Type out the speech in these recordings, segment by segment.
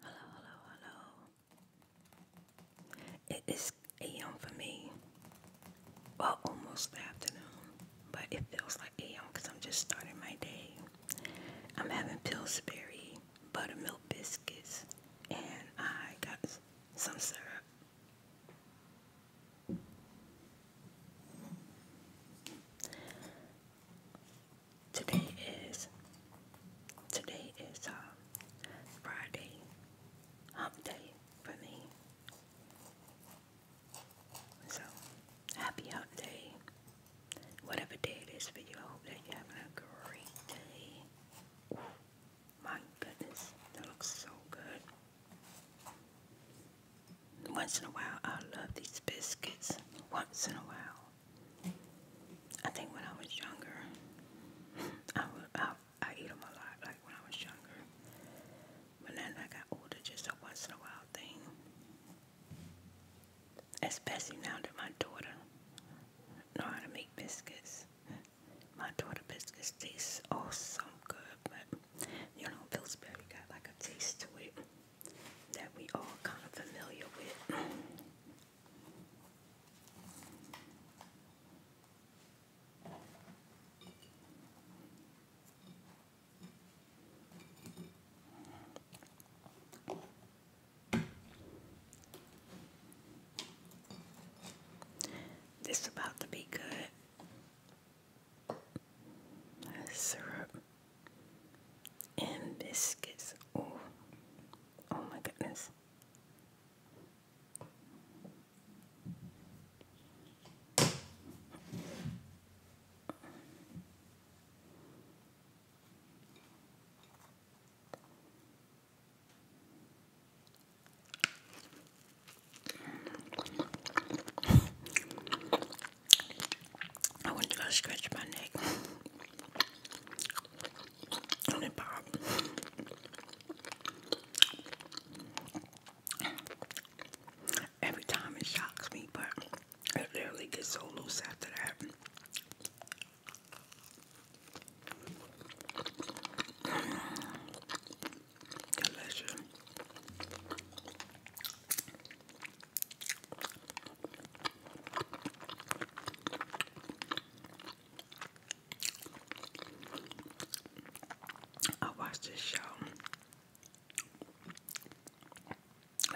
Hello, hello, hello. It is AM for me. Well, almost afternoon, but it feels like AM because I'm just starting my day. I'm having Pillsbury buttermilk biscuits, and I got some syrup. Today is today is uh, Friday hump day for me. So happy hump day. Whatever day it is for you, I hope that you're having a great day. my goodness, that looks so good. Once in a while, I love these biscuits. Once in a while. I think when I was younger, I, would, I, I eat them a lot, like when I was younger. But then I got older, just a once in a while thing. Especially now that my daughter know how to make biscuits. My daughter biscuits taste awesome good, but you know, Pillsbury got like a taste to it that we all kind of familiar with. This about to be good syrup and biscuits. Oh, oh my goodness. I want to go scratch my neck. And it Every time it shocks me, but it literally gets so loose after that. I watched this show.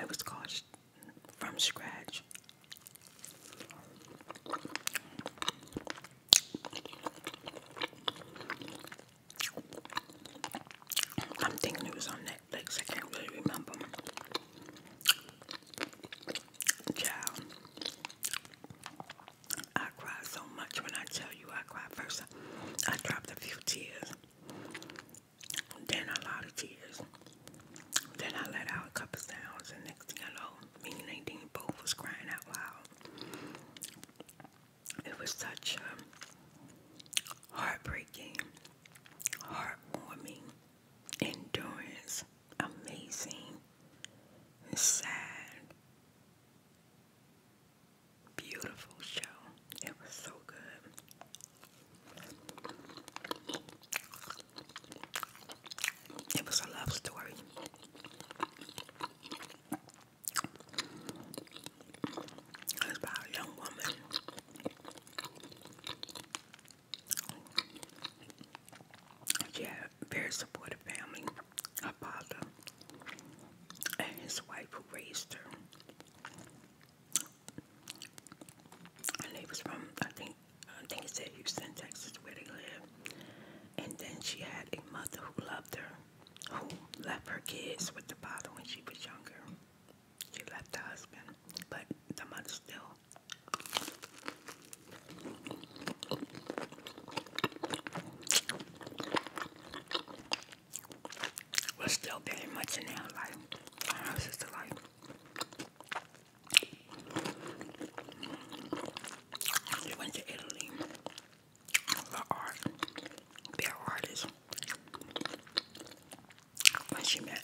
It was called From Scratch. I'm thinking it was on Netflix. I can't really remember. Child, I cried so much when I tell you I cried. First, I dropped a few tears, then a lot of tears. Then I let out a couple sounds, and next thing I know, me and Nadine both was crying out loud it was such a um, heartbreaking, heartwarming, endurance, amazing, sad, beautiful show. It was so good. It was a love story. It's about a young woman. She had a very supportive family. Her father and his wife who raised her. And they was from I think I think it said Houston, Texas, where they live. And then she had a mother who loved her, who left her kids with the father when she was younger. She left her husband, but the mother still. was still very much in her life, her sister's life. They went to Italy. The art, their artist. When she met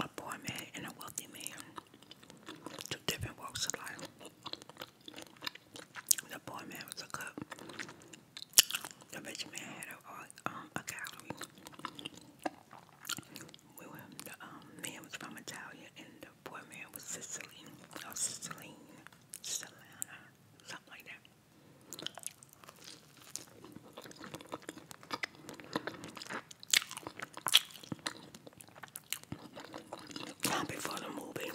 a poor man and a wealthy man, two different walks of life. The poor man was a cook. The rich man had a, um, a gallery. the um, man was from Italia and the appointment with Cicely or Cicely Selena, something like that. before the movie,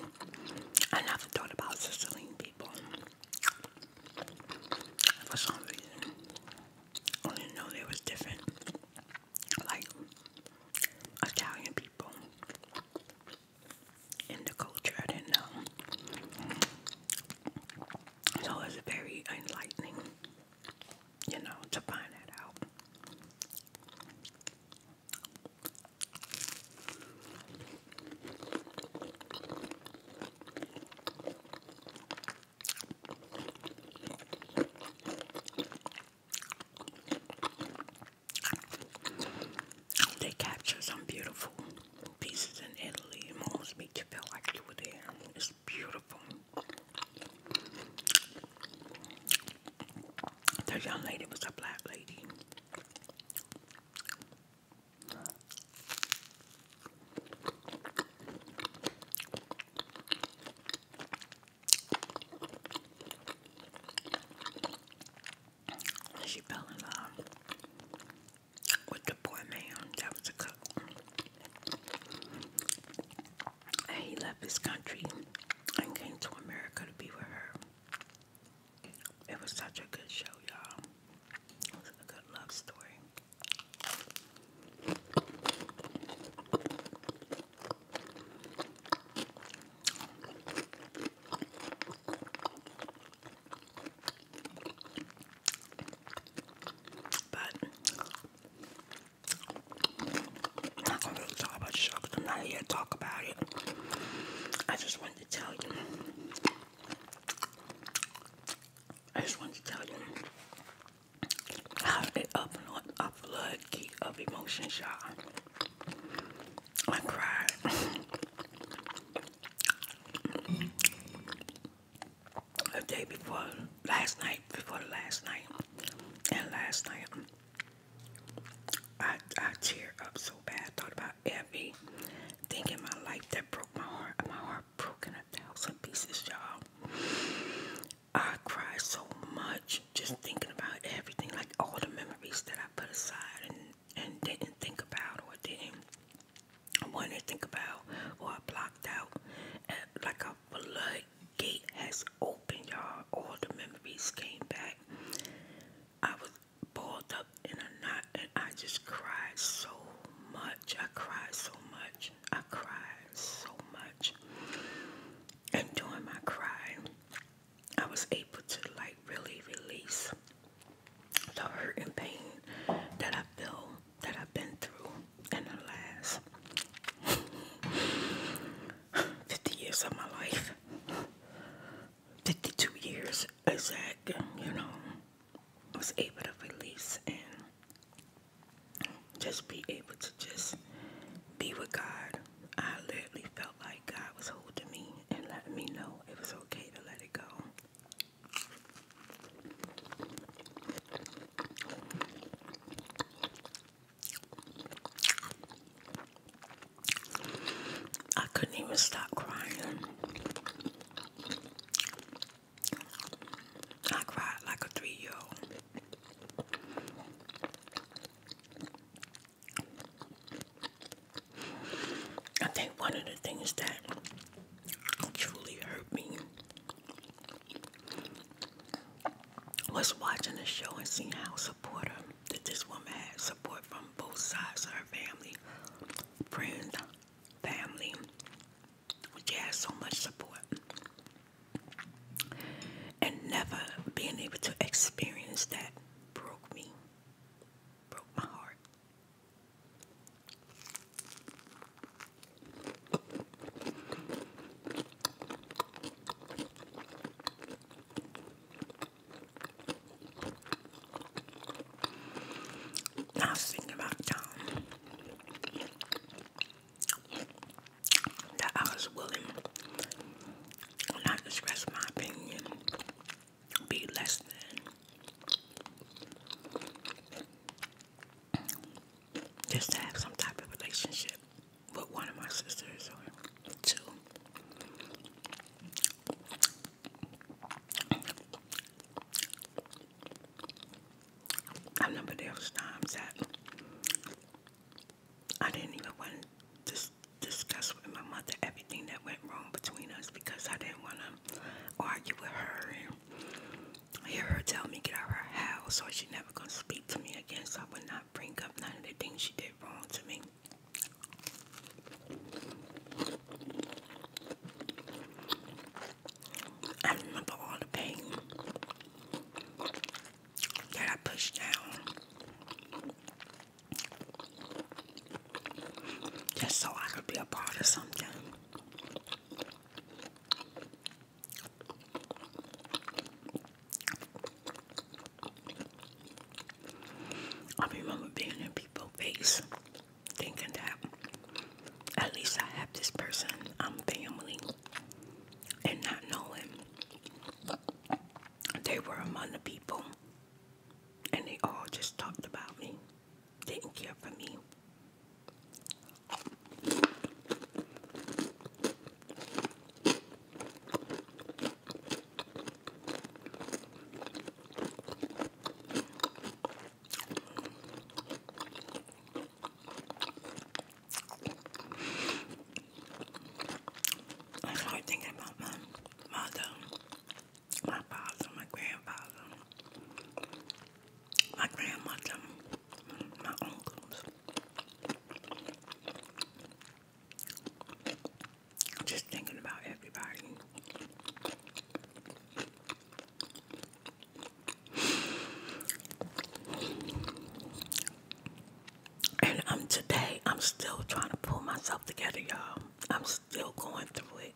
I never thought about Sicilian people. For some reason, only know they was different like Italian people in the culture. I did So it's very enlightening, you know, to find that out. They captured some beautiful pieces in Italy. It almost makes you feel like you were there. It's beautiful. The young lady was a black lady. She fell in love with the poor man that was a cook. And he left his country and came to America to be with her. It was such a good show, y'all. It was a good love story. But I'm not here to talk about it. I just wanted to tell you. I just wanted to tell you I did it upload a flood key of emotions, y'all? I cried. the day before, last night, before last night, and last night, I, I teared up so bad. thought about Evie, thing in my life that broke my heart. My heart broke in a thousand pieces, y'all. I cried so much just thinking about everything, like all the memories that I put aside and, and didn't think about or didn't want to think about or I blocked out. And like a floodgate has opened, y'all. All the memories came back. I was balled up in a knot and I just cried so much. I cried so much. I cried so much. And during my crying, I was able to like really release the hurt and pain that I felt that I've been through in the last 50 years of my life. 52 years exact, you know. I was able to release and just be able to just be with God. I literally felt like God was holding me and letting me know it was okay to let it go. I couldn't even stop crying. I cried like a three year old. I think one of the things that truly hurt me was watching the show and seeing how supportive that this woman had support from both sides of her family, friends, family, which had so much support, and never being able to experience that broke me, broke my heart. I thinking about Tom that I was willing not to express my opinion, be less than, just to have some type of relationship with one of my sisters or two. I remember there was times that I didn't even want to discuss with my mother everything that went wrong between us because I didn't want to argue with her and hear her tell me get out of her house or she never gonna speak to me again so I would not bring up none of the things she did wrong to me. I remember all the pain that I pushed down just so I could be a part of something. I remember being in people's face thinking that at least I have this person, I'm um, family, and not knowing they were among the people, and they all just talked about me, didn't care for me. I started thinking about my mother, my father, my grandfather, my grandmother, my uncles. Just thinking about everybody. And I'm today, I'm still trying to pull myself together, y'all. I'm still going through it.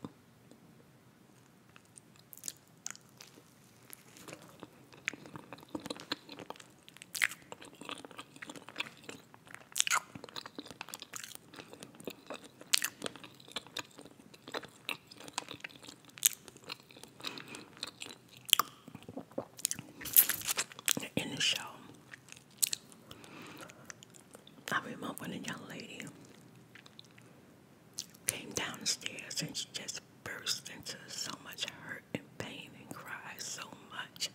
In the show, I remember when a young lady came downstairs and she just burst into so much hurt and pain and cried so much.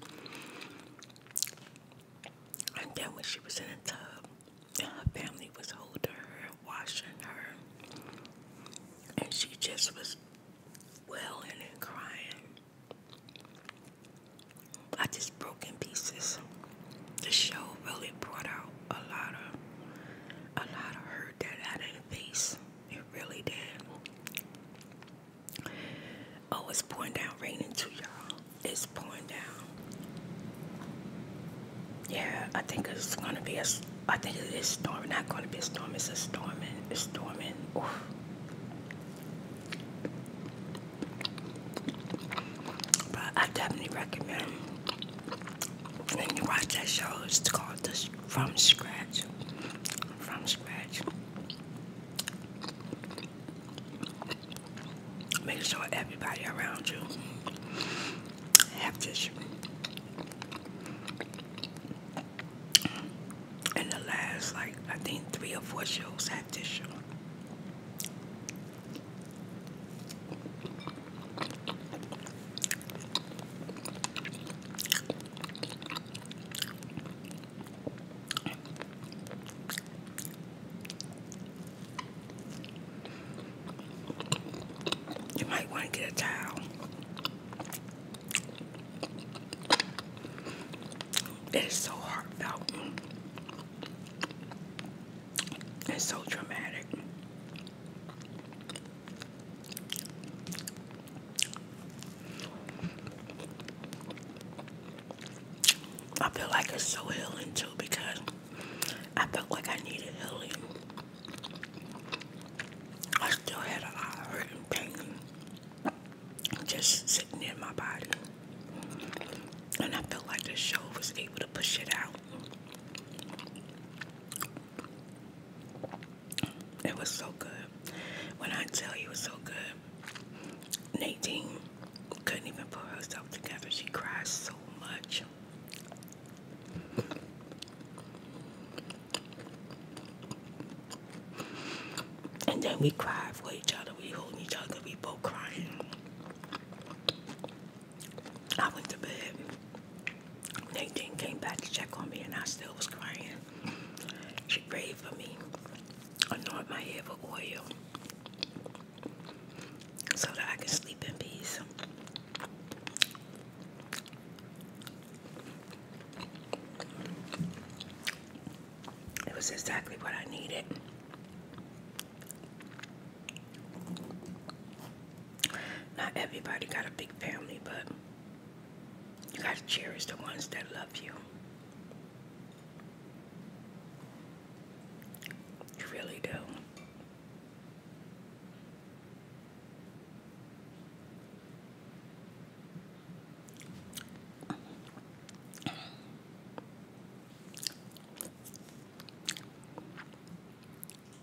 And then when she was in the tub, her family was holding her and washing her, and she just was wailing and crying. I just broke in pieces. The show really brought out a lot of a lot of hurt that I didn't face. It really did. Oh, it's pouring down rain into y'all. It's pouring down. Yeah, I think it's gonna be a. I think it is storming. Not gonna be a storm. It's a storming. It's storming. Oof. But I definitely recommend when you watch that show. It's called From Scratch. From Scratch. Make sure everybody around you have tissue. In the last, like, I think three or four shows have tissue. You might want to get a towel. It is so heartfelt It's so dramatic. I feel like it's so healing too because I felt like I needed healing. I still had a lot of hurt and pain just sitting in my body. And I felt like the show was able to push it out. It was so good. When I tell you it was so good, Nadine couldn't even pull herself together. She cried so much. And then we cried for each other. We holding each other. We both crying. I went to bed. Nadine came back to check on me, and I still was crying. She prayed for me, anointed my head with oil, so that I can sleep in peace. It was exactly what I needed. Not everybody got a big family, but you gotta cherish the ones that love you. You really do.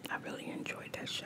I really enjoyed that show.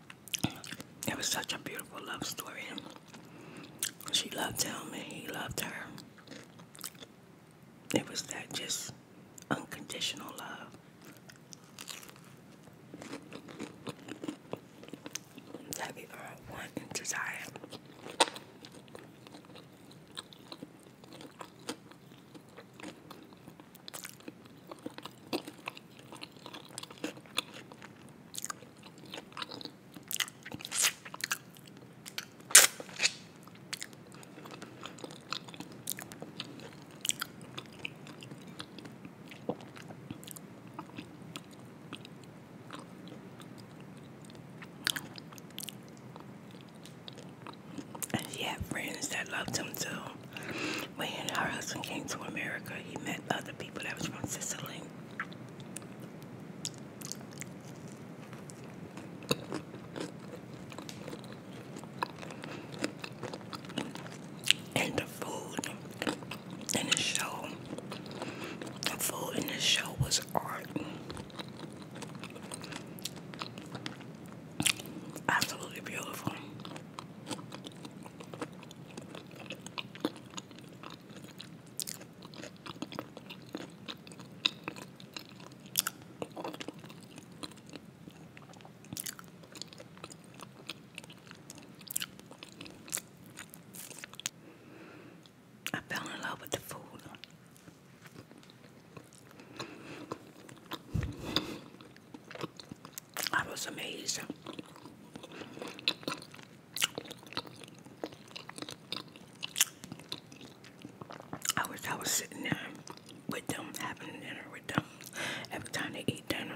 It was such a beautiful love story. She loved him and he loved her. It was that just unconditional love. That we all want and desire. And she had friends that loved him too. When her husband came to America, he met other people that was from Sicily. And the food in the show, the food in the show was art. Absolutely beautiful. I fell in love with the food. I was amazed. I wish I was sitting there with them, having dinner with them every time they eat dinner.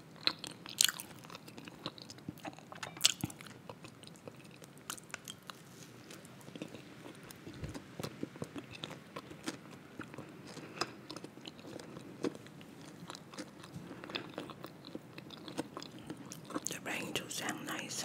The rain do sound nice.